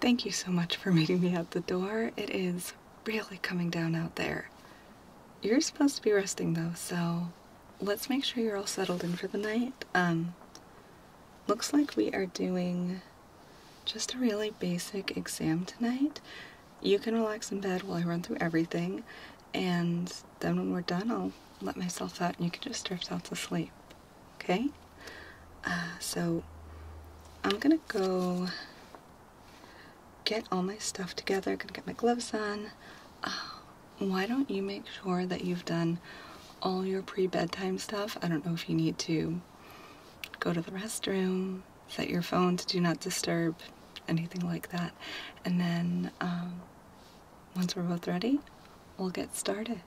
Thank you so much for meeting me at the door. It is really coming down out there. You're supposed to be resting though, so let's make sure you're all settled in for the night. Um, looks like we are doing just a really basic exam tonight. You can relax in bed while I run through everything, and then when we're done, I'll let myself out and you can just drift off to sleep, okay? Uh, so I'm gonna go get all my stuff together, gonna get my gloves on. Um, why don't you make sure that you've done all your pre-bedtime stuff? I don't know if you need to go to the restroom, set your phone to do not disturb, anything like that. And then um, once we're both ready, we'll get started.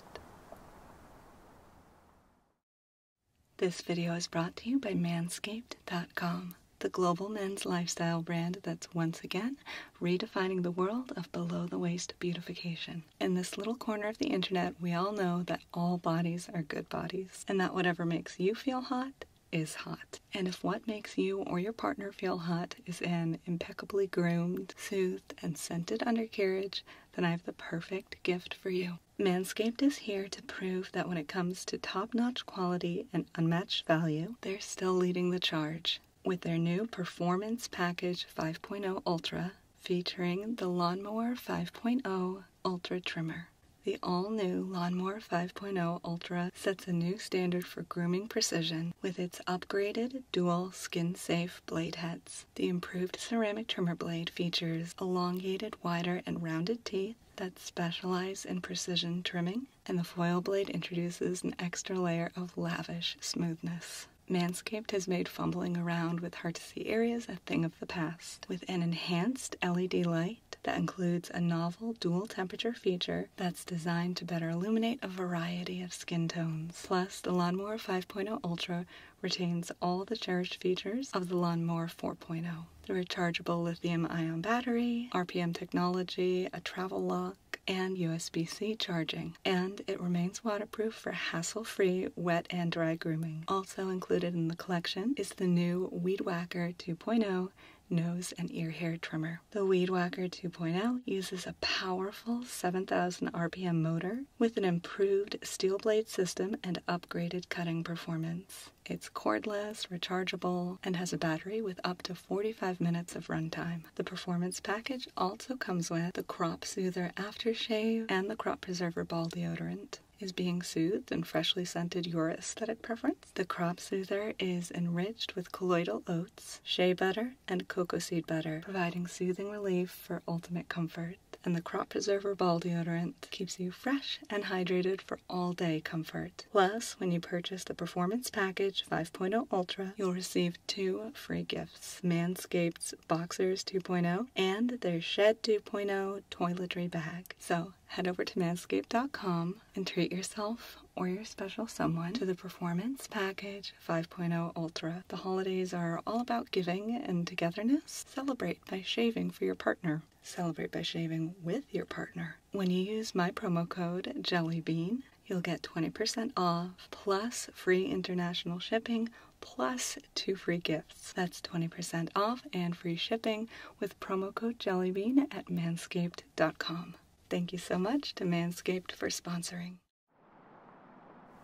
This video is brought to you by manscaped.com the global men's lifestyle brand that's once again redefining the world of below the waist beautification. In this little corner of the internet, we all know that all bodies are good bodies and that whatever makes you feel hot is hot. And if what makes you or your partner feel hot is an impeccably groomed, soothed, and scented undercarriage, then I have the perfect gift for you. Manscaped is here to prove that when it comes to top notch quality, and unmatched value, they're still leading the charge with their new Performance Package 5.0 Ultra featuring the Lawnmower 5.0 Ultra Trimmer. The all new Lawnmower 5.0 Ultra sets a new standard for grooming precision with its upgraded dual skin safe blade heads. The improved ceramic trimmer blade features elongated, wider, and rounded teeth that specialize in precision trimming, and the foil blade introduces an extra layer of lavish smoothness. Manscaped has made fumbling around with hard to see areas a thing of the past with an enhanced LED light that includes a novel dual temperature feature that's designed to better illuminate a variety of skin tones. Plus, the Lawnmower 5.0 Ultra retains all the cherished features of the Lawnmower 4.0 the rechargeable lithium ion battery, RPM technology, a travel lock, and USB C charging. And it remains waterproof for hassle free wet and dry grooming. Also included in the collection is the new Weed 2.0 nose and ear hair trimmer. The Weed 2.0 uses a powerful 7,000 RPM motor with an improved steel blade system and upgraded cutting performance. It's cordless, rechargeable, and has a battery with up to 45 minutes of runtime. The performance package also comes with the Crop Soother Aftershave and the Crop Preserver Ball Deodorant is being soothed and freshly scented your aesthetic preference. The crop soother is enriched with colloidal oats, shea butter, and cocoa seed butter, providing soothing relief for ultimate comfort. And the crop preserver ball deodorant keeps you fresh and hydrated for all-day comfort. Plus, when you purchase the Performance Package 5.0 Ultra, you'll receive two free gifts. Manscaped's Boxers 2.0 and their Shed 2.0 toiletry bag. So head over to manscaped.com and treat yourself or your special someone to the Performance Package 5.0 Ultra. The holidays are all about giving and togetherness. Celebrate by shaving for your partner Celebrate by shaving with your partner. When you use my promo code JELLYBEAN, you'll get 20% off plus free international shipping plus two free gifts. That's 20% off and free shipping with promo code JELLYBEAN at manscaped.com. Thank you so much to Manscaped for sponsoring.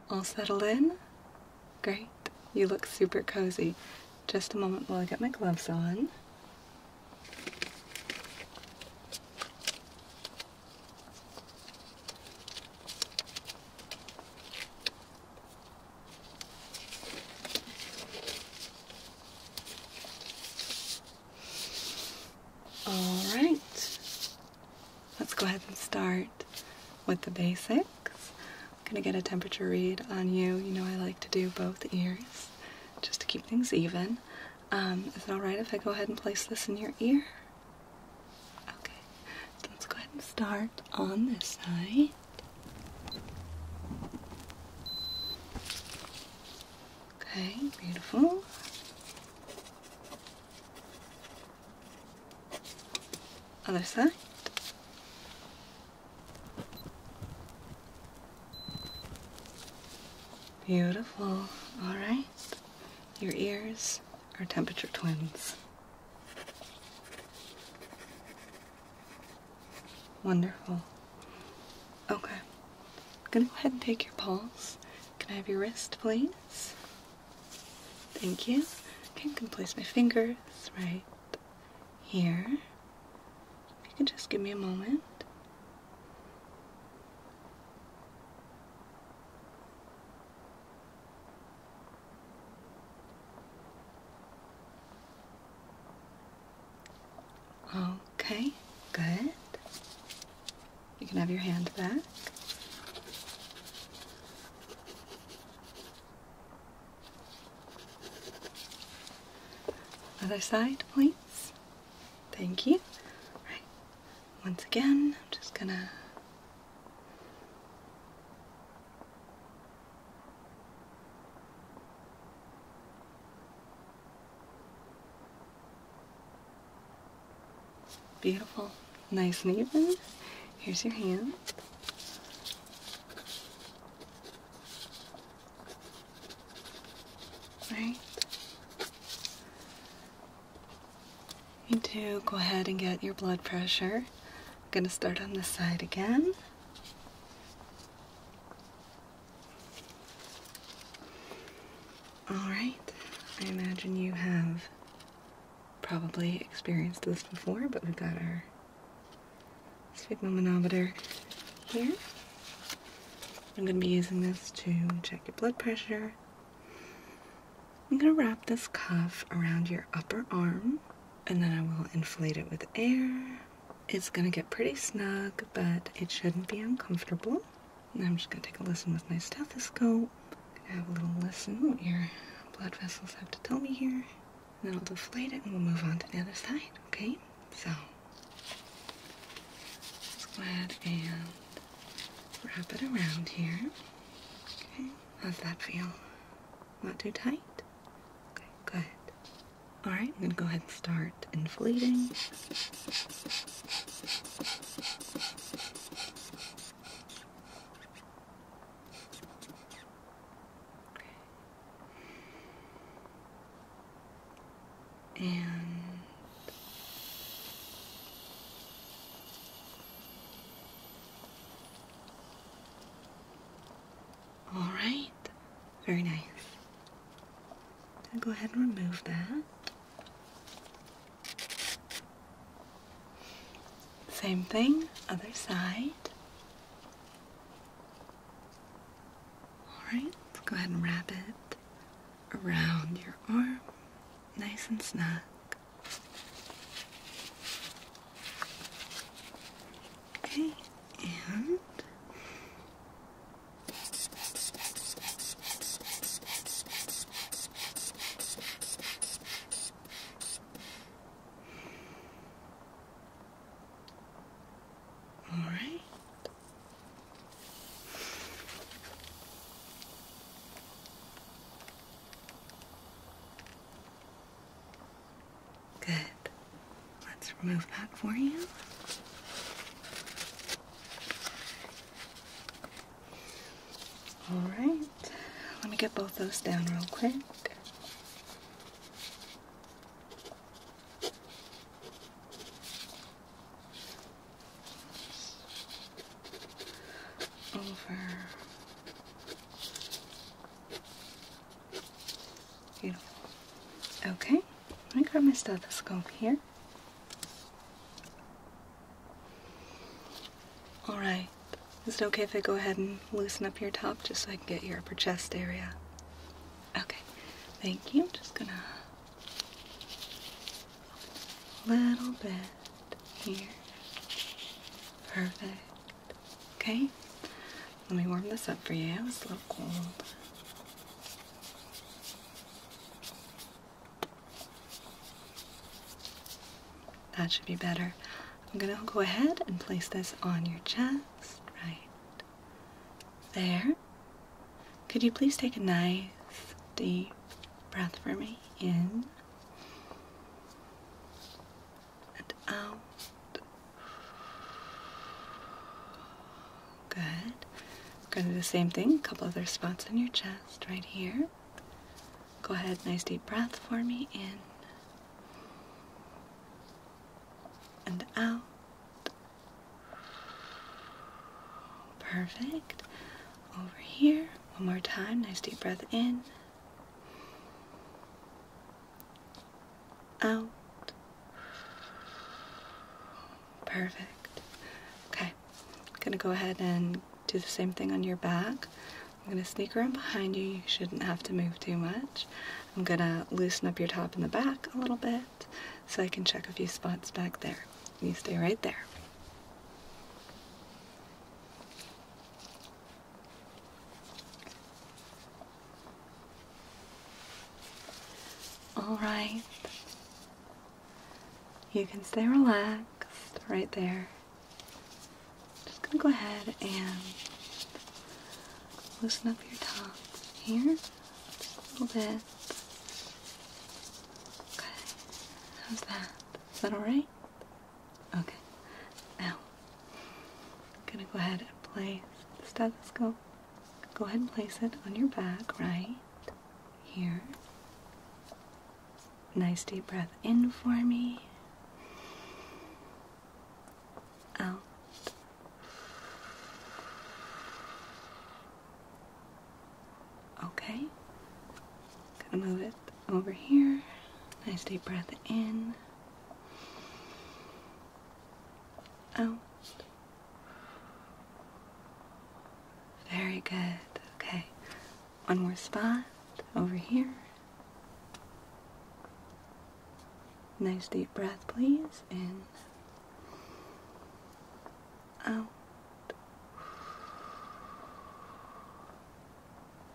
All settled in? Great. You look super cozy. Just a moment while I get my gloves on. Alright, let's go ahead and start with the basics gonna get a temperature read on you. You know I like to do both ears just to keep things even. Um, is it alright if I go ahead and place this in your ear? Okay, so let's go ahead and start on this side. Okay, beautiful. Other side. Beautiful. All right. Your ears are temperature twins. Wonderful. Okay. I'm gonna go ahead and take your pulse. Can I have your wrist, please? Thank you. Okay, can place my fingers right here. If you can just give me a moment. Okay, good. You can have your hand back. Other side, please. Thank you. Once again, I'm just gonna Beautiful, nice and even. Here's your hand. Right? You do go ahead and get your blood pressure. I'm going to start on this side again. Alright, I imagine you have probably experienced this before, but we've got our Sleep manometer here. I'm going to be using this to check your blood pressure. I'm going to wrap this cuff around your upper arm and then I will inflate it with air. It's going to get pretty snug, but it shouldn't be uncomfortable. And I'm just going to take a listen with my stethoscope. going have a little listen what your blood vessels have to tell me here. And then I'll deflate it and we'll move on to the other side, okay? So, let's go ahead and wrap it around here. Okay, how's that feel? Not too tight? Okay, good. All right, I'm gonna go ahead and start inflating and all right, very nice. go ahead and remove that. Same thing, other side. Alright, let's go ahead and wrap it around your arm, nice and snug. Okay, and all right. Good. Let's remove that for you. All right. Let me get both those down real quick over beautiful okay I grab my stethoscope here all right is it okay if I go ahead and loosen up your top just so I can get your upper chest area? Okay, thank you. I'm just gonna a little bit here. Perfect. Okay, let me warm this up for you. It's a little cold. That should be better. I'm going to go ahead and place this on your chest, right there. Could you please take a nice deep breath for me? In and out. Good. I'm going to do the same thing, a couple other spots on your chest right here. Go ahead, nice deep breath for me in and out. Perfect. Over here. One more time. Nice deep breath in. Out. Perfect. Okay. gonna go ahead and do the same thing on your back. I'm going to sneak around behind you. You shouldn't have to move too much. I'm going to loosen up your top and the back a little bit so I can check a few spots back there. You stay right there. All right. You can stay relaxed right there just gonna go ahead and loosen up your top here just a little bit. Okay, how's that? Is that all right? Okay. Now, I'm gonna go ahead and place the stethoscope. Go ahead and place it on your back, right here. Nice deep breath in for me out. Okay. Gonna move it over here. Nice deep breath in. Out. Very good. Okay. One more spot over here. Nice deep breath, please. In. Out.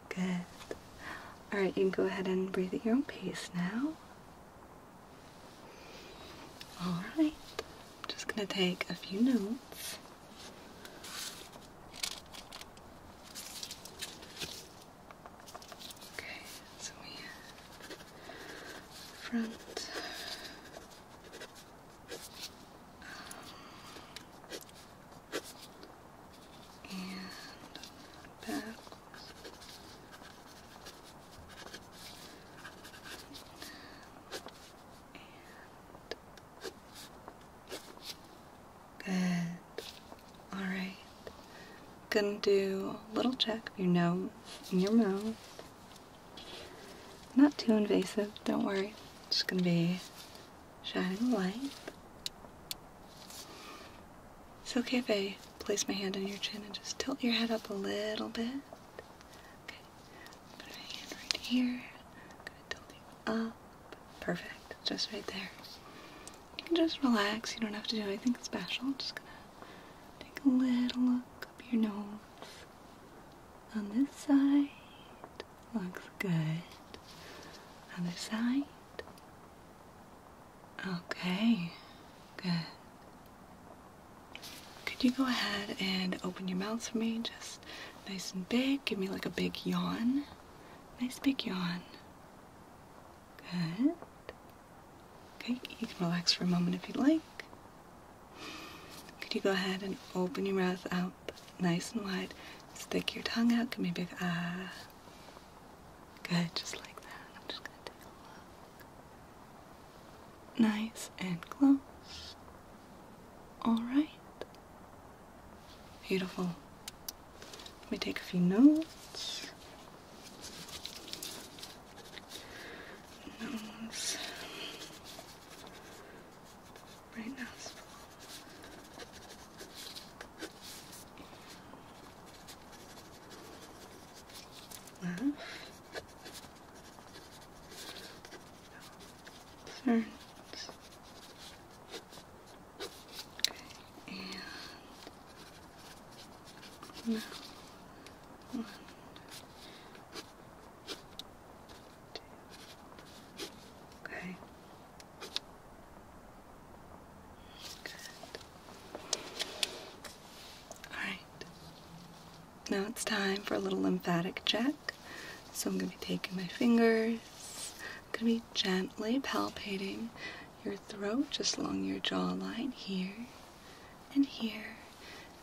Good. Alright, you can go ahead and breathe at your own pace now. Alright. Just gonna take a few notes. Okay, so we front and back. And Good. All right. Gonna do a little check of your nose and your mouth. Not too invasive, don't worry. Just gonna be shining a light. It's okay if I place my hand on your chin and just tilt your head up a little bit. Put my hand right here. up. Perfect. Just right there. You can just relax. You don't have to do anything special. Just gonna take a little look up your nose. On this side. Looks good. Other side. Okay. Good. Could you go ahead and open your mouth for me? Just nice and big. Give me like a big yawn. Nice big yawn. Good. Okay, you can relax for a moment if you'd like. Could you go ahead and open your mouth out nice and wide? Stick your tongue out. Give me a big ah. Good, just like that. just going Nice and close. All right. Beautiful. Let me take a few notes. Nose. Right now. Left. Turns and one, two. Okay. Good. All right. Now it's time for a little lymphatic check. So I'm going to be taking my fingers I'm going to be gently palpating your throat just along your jawline here and here.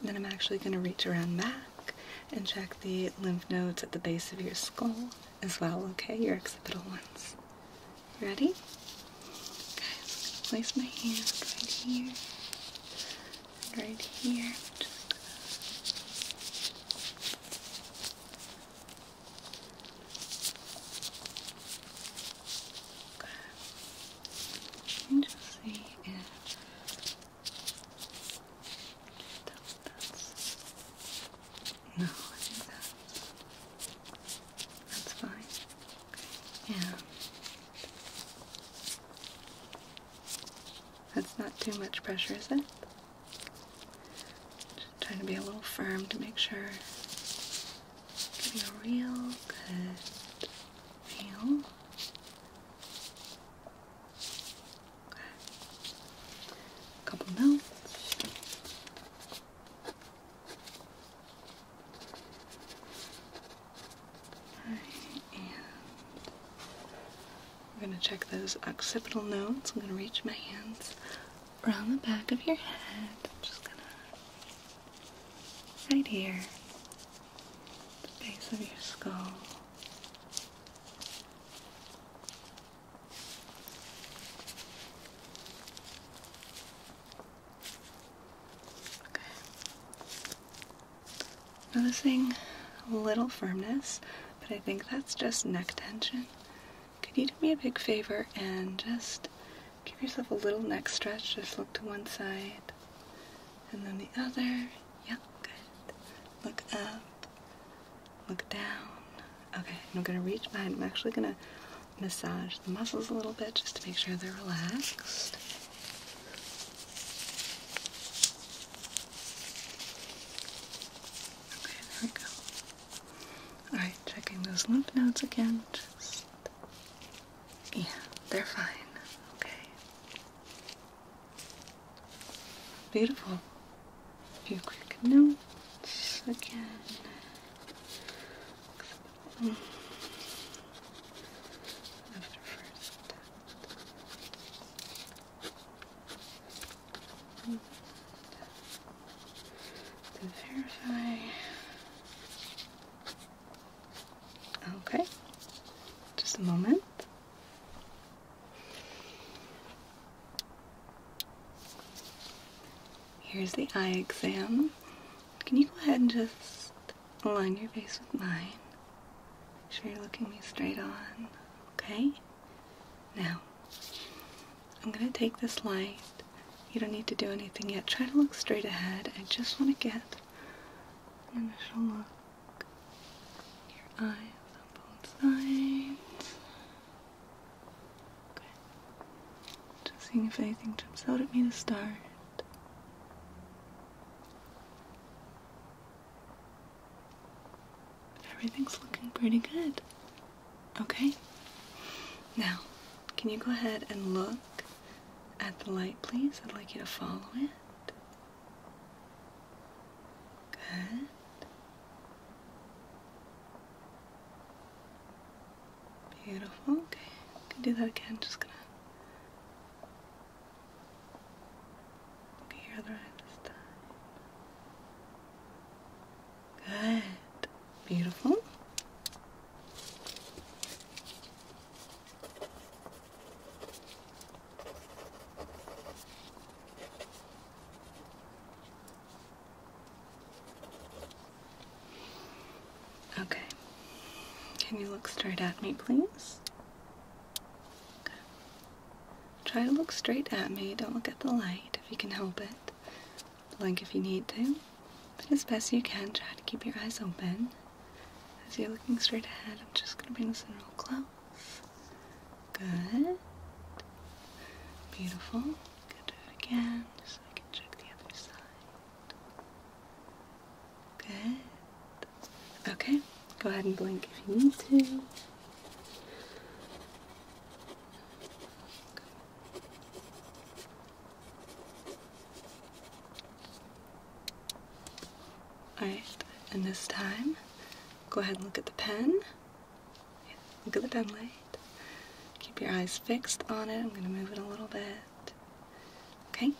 then I'm actually going to reach around back and check the lymph nodes at the base of your skull as well, okay? Your occipital ones. Ready? Okay, I'm going to place my hand right here right here. Okay. Let me see if that's, that's no, I think that's that's fine. Yeah. That's not too much pressure, is it? trying to be a little firm to make sure give you a real good feel. couple notes. Right, and we're going to check those occipital nodes. I'm going to reach my hands around the back of your head. just going to, right here, the base of your skull. Okay. Noticing a little firmness, but I think that's just neck tension could you do me a big favor and just give yourself a little neck stretch? Just look to one side and then the other. Yeah, good. Look up, look down. Okay, I'm gonna reach behind. I'm actually gonna massage the muscles a little bit just to make sure they're relaxed. Okay, there we go. Alright, checking those lymph nodes again. Just. Yeah, they're fine. Okay. Beautiful. A few quick notes again. After first to verify. Okay, just a moment. Here's the eye exam. Can you go ahead and just align your face with mine? Make sure you're looking me straight on. Okay? Now, I'm going to take this light. You don't need to do anything yet. Try to look straight ahead. I just want to get an initial look. Your eyes on both sides. Just seeing if anything jumps out at me to start. Everything's looking pretty good. Okay. Now, can you go ahead and look at the light, please? I'd like you to follow it. Good. Beautiful. Okay. can do that again. Just gonna here right this time. Good. Beautiful. Okay. Can you look straight at me, please? Try to look straight at me. Don't look at the light if you can help it. Blink if you need to. But as best you can, try to keep your eyes open. As you're looking straight ahead, I'm just going to bring this in real close. Good. Beautiful. Good. Do it again, just so I can check the other side. Good. Okay. Go ahead and blink if you need to. Alright, and this time, go ahead and look at the pen. look at the pen light. Keep your eyes fixed on it. I'm going to move it a little bit. Okay,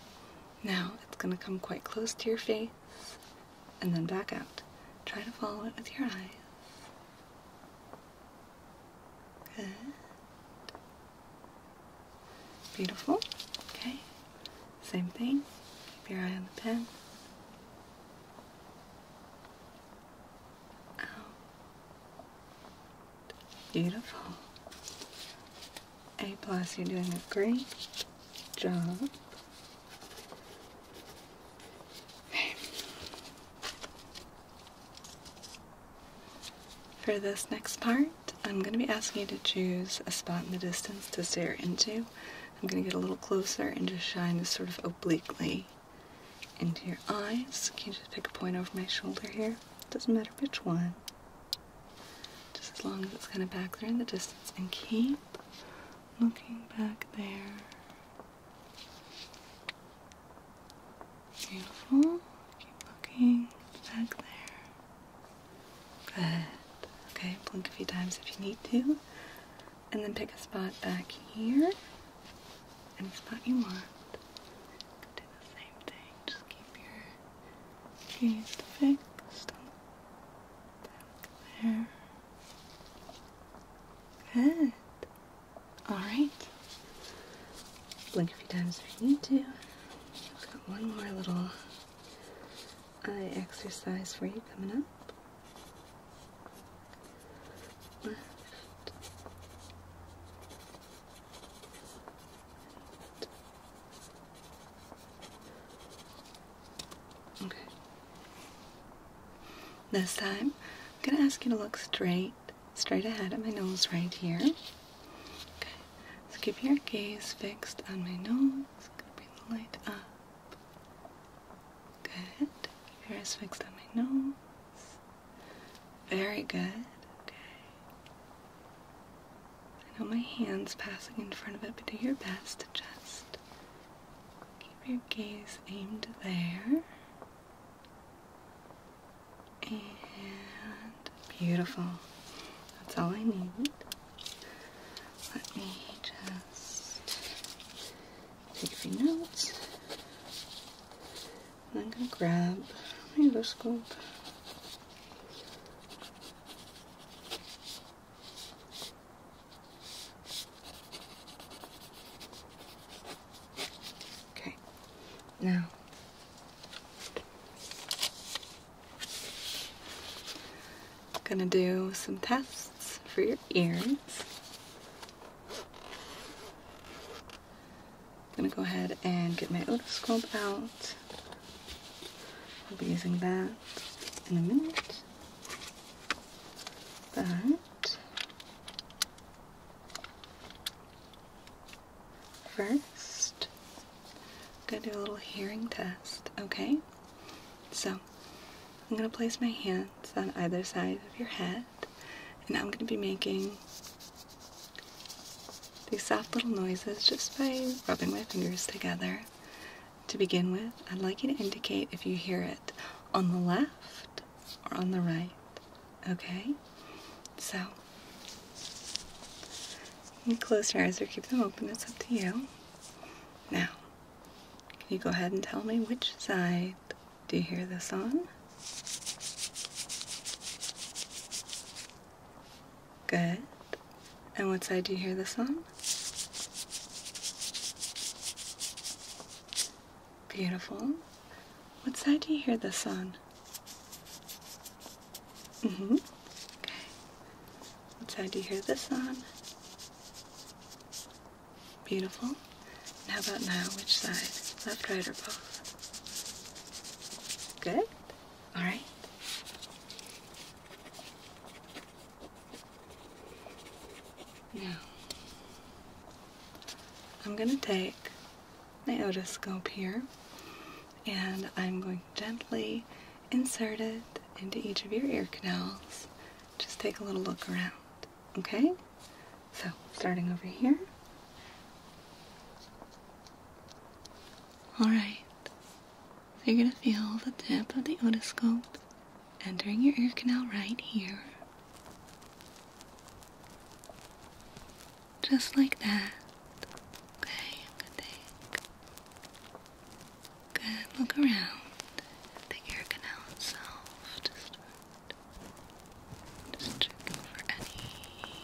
now it's going to come quite close to your face and then back out. Try to follow it with your eyes. Good. Beautiful. Okay. Same thing. Keep your eye on the pen. Out. Beautiful. A plus, you're doing a great job. For this next part, I'm going to be asking you to choose a spot in the distance to stare into. I'm going to get a little closer and just shine this sort of obliquely into your eyes. Can you just pick a point over my shoulder here? Doesn't matter which one. Just as long as it's kind of back there in the distance and keep looking back there. Beautiful. Keep looking back there. Good. Okay, blink a few times if you need to. And then pick a spot back here. Any spot you want. Do the same thing. Just keep your gaze fixed. Back there. Good. All right. Blink a few times if you need to. got one more little eye exercise for you coming up. Okay. This time, I'm going to ask you to look straight, straight ahead at my nose right here. Okay. So keep your gaze fixed on my nose. Bring the light up. Good. Keep your eyes fixed on my nose. Very good. Okay. I know my hand's passing in front of it, but do your best to just Keep your gaze aimed there. And beautiful. That's all I need. Let me just take a few notes. I'm going to grab my other scope. Okay. Now, I'm gonna do some tests for your ears. I'm gonna go ahead and get my otoscope out. I'll be using that in a minute. But first, I'm going to do a little hearing test, okay? So, I'm going to place my hands on either side of your head, and I'm going to be making these soft little noises just by rubbing my fingers together to begin with, I'd like you to indicate if you hear it on the left or on the right. Okay? So, you close your eyes or keep them open, it's up to you. Now, can you go ahead and tell me which side do you hear the song? Good. And what side do you hear this on? Beautiful. What side do you hear this on? Mm-hmm. Okay. What side do you hear this on? Beautiful. And how about now? Which side? Left, right, or both? Good. All right. Now, I'm going to take my otoscope here and I'm going to gently insert it into each of your ear canals. Just take a little look around, okay? So, starting over here. All right. So you're going to feel the tip of the otoscope entering your ear canal right here. Just like that. Okay, i good look around the ear canal itself. Just, just checking for any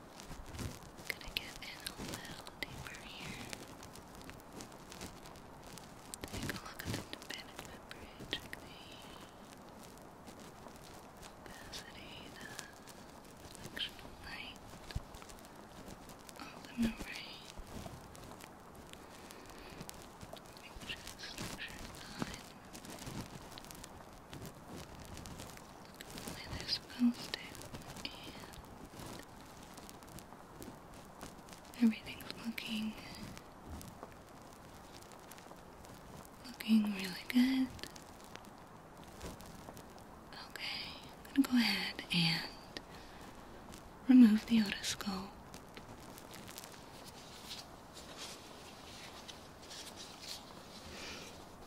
Gonna get in a little deeper here. Take a look at the management the opacity, the sectional light, ultimate ray. Make the structure is aligned. Look at the way they Everything's looking looking really good. Okay, I'm gonna go ahead and remove the otoscope.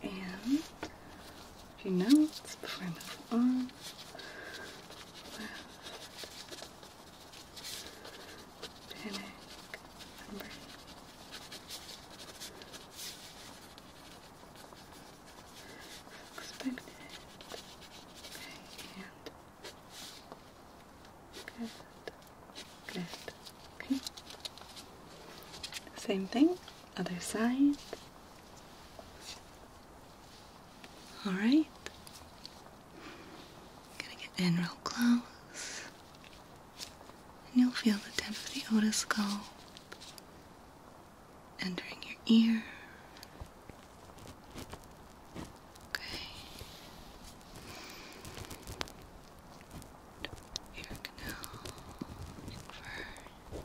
And a few notes before I move on. Left, number. Expected. Okay, and good, good, okay. Same thing, other side. All right. Gonna get in real close. And you'll feel the tip of the otoscope entering your ear. Okay. Ear canal. Fur.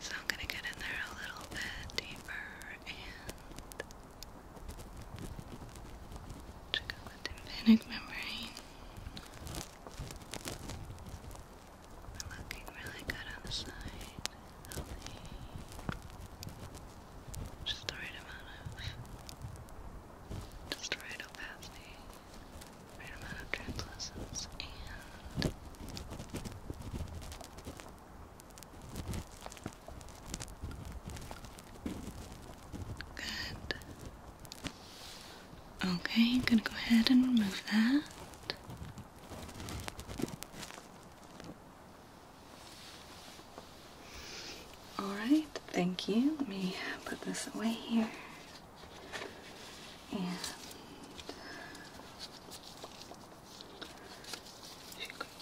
So I'm going to get in there a little bit deeper and check out the tympanic membrane. We're looking really good on the side. Just the right amount of just the right opacity. Right amount of translucence and Good. Okay, I'm gonna go ahead and remove that. Alright, thank you. Let me put this away here. And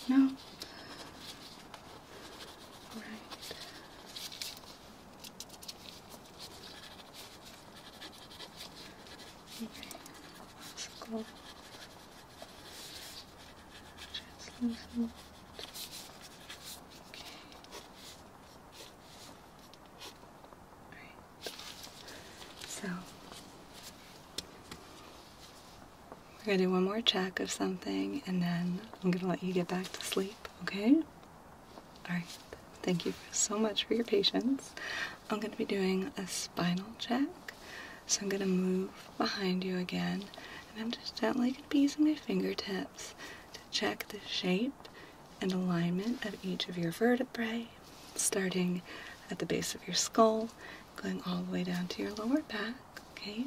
there Right. Okay. Let's go. Translucent. Okay. Alright. So we're going to do one more check of something and then I'm going to let you get back to sleep, okay? Alright, thank you so much for your patience. I'm going to be doing a spinal check. So I'm going to move behind you again and I'm just gently going to be using my fingertips to check the shape and alignment of each of your vertebrae starting at the base of your skull, going all the way down to your lower back. Okay,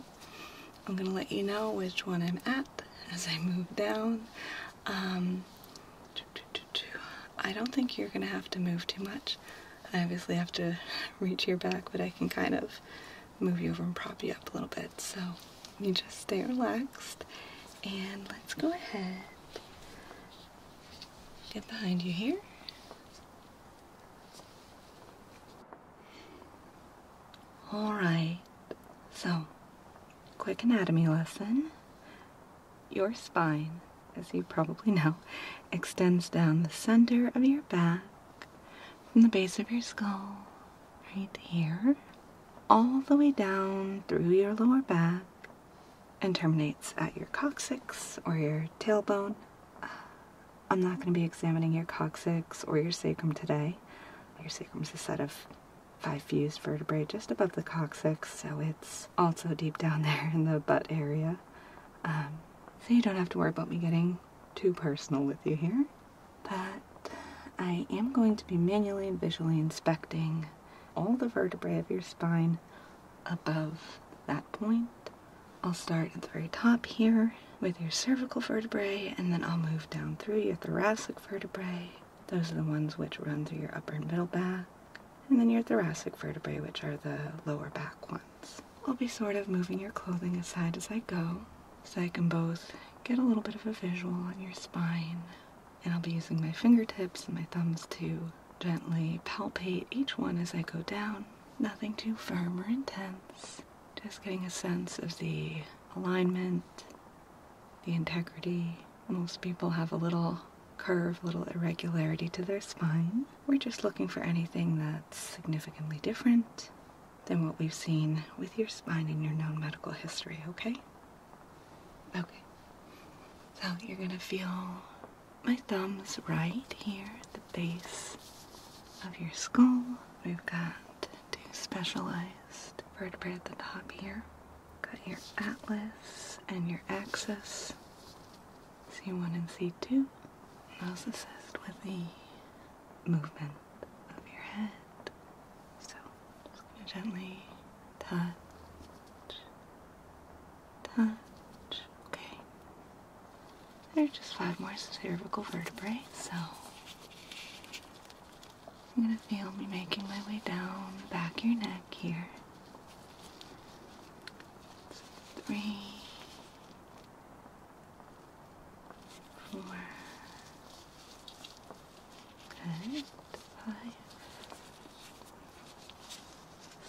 I'm gonna let you know which one I'm at as I move down. Um, I don't think you're gonna have to move too much. I obviously have to reach your back, but I can kind of move you over and prop you up a little bit. So you just stay relaxed and let's go ahead Get behind you here. All right. So, quick anatomy lesson. Your spine, as you probably know, extends down the center of your back from the base of your skull right here all the way down through your lower back and terminates at your coccyx or your tailbone. I'm not going to be examining your coccyx or your sacrum today. Your sacrum is a set of five fused vertebrae just above the coccyx, so it's also deep down there in the butt area. Um, so you don't have to worry about me getting too personal with you here. But I am going to be manually visually inspecting all the vertebrae of your spine above that point. I'll start at the very top here with your cervical vertebrae, and then I'll move down through your thoracic vertebrae. Those are the ones which run through your upper and middle back. And then your thoracic vertebrae, which are the lower back ones. I'll be sort of moving your clothing aside as I go, so I can both get a little bit of a visual on your spine and I'll be using my fingertips and my thumbs to gently palpate each one as I go down. Nothing too firm or intense. Just getting a sense of the alignment, the integrity. Most people have a little curve, little irregularity to their spine. We're just looking for anything that's significantly different than what we've seen with your spine in your known medical history, okay? Okay. So you're gonna feel my thumbs right here at the base of your skull. We've got two specialized vertebrae at the top here. Got your atlas and your axis. C1 and C2. Those assist with the movement of your head. So just gonna gently touch, touch. Okay. There's just five more cervical vertebrae, so I'm going to feel me making my way down back your neck here. Three, four. Good. Five,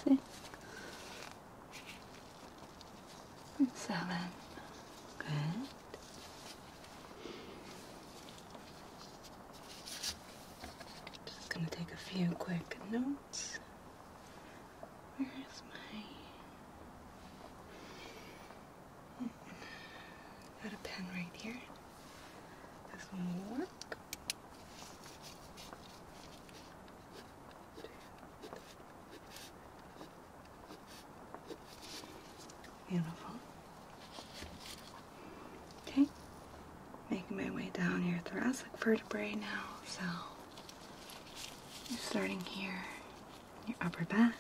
six, seven. Good. Just gonna take a few quick notes. Where is my? Got a pen right here. This one will work. Beautiful. Okay, making my way down your thoracic vertebrae now. So you're starting here, your upper back.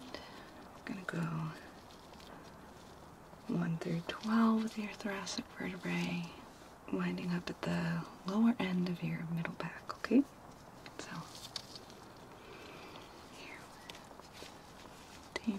I'm gonna go 1 through 12 of your thoracic vertebrae, winding up at the lower end of your middle back, okay? So, here, day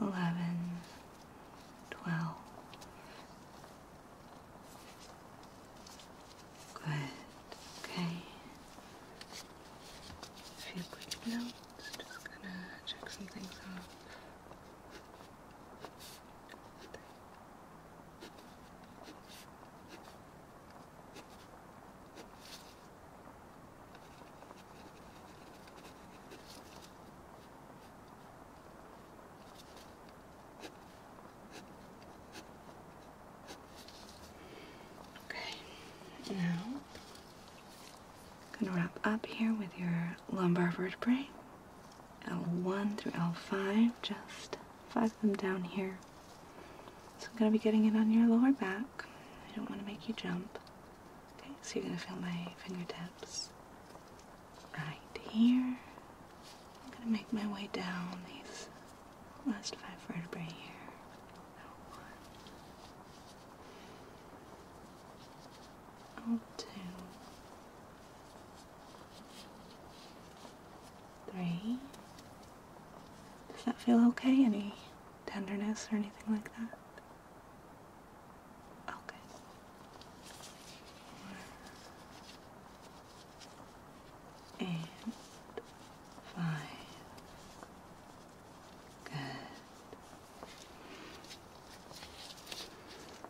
eleven, twelve. Good. Okay. A few quick notes. Just gonna check some things off. Okay, now I'm gonna wrap up here with your lumbar vertebrae, L1 through L5, just five them down here. So I'm going to be getting it on your lower back. I don't want to make you jump. Okay, so you're going to feel my fingertips right here. I'm going to make my way down these last five vertebrae here. l Does that feel okay? Any tenderness or anything like that? Okay. And five. Good.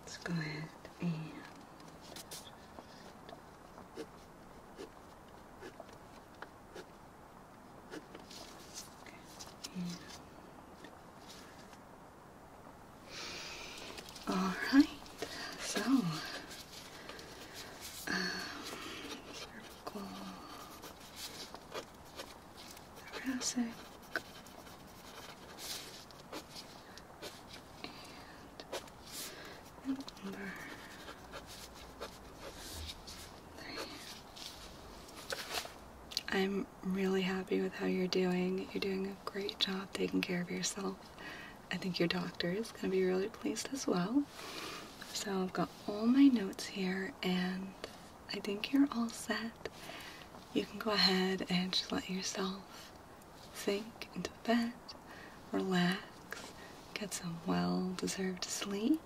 Let's go ahead and all right, so cervical, um, thoracic, and lumbar. I'm really happy with how you're doing. You're doing a great job taking care of yourself. I think your doctor is going to be really pleased as well. So I've got all my notes here and I think you're all set. You can go ahead and just let yourself sink into bed, relax, get some well-deserved sleep,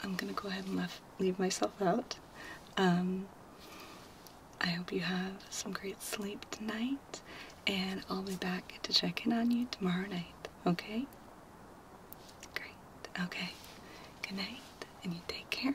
I'm gonna go ahead and leave myself out. Um, I hope you have some great sleep tonight, and I'll be back to check in on you tomorrow night, okay? Great. Okay. Good night, and you take care.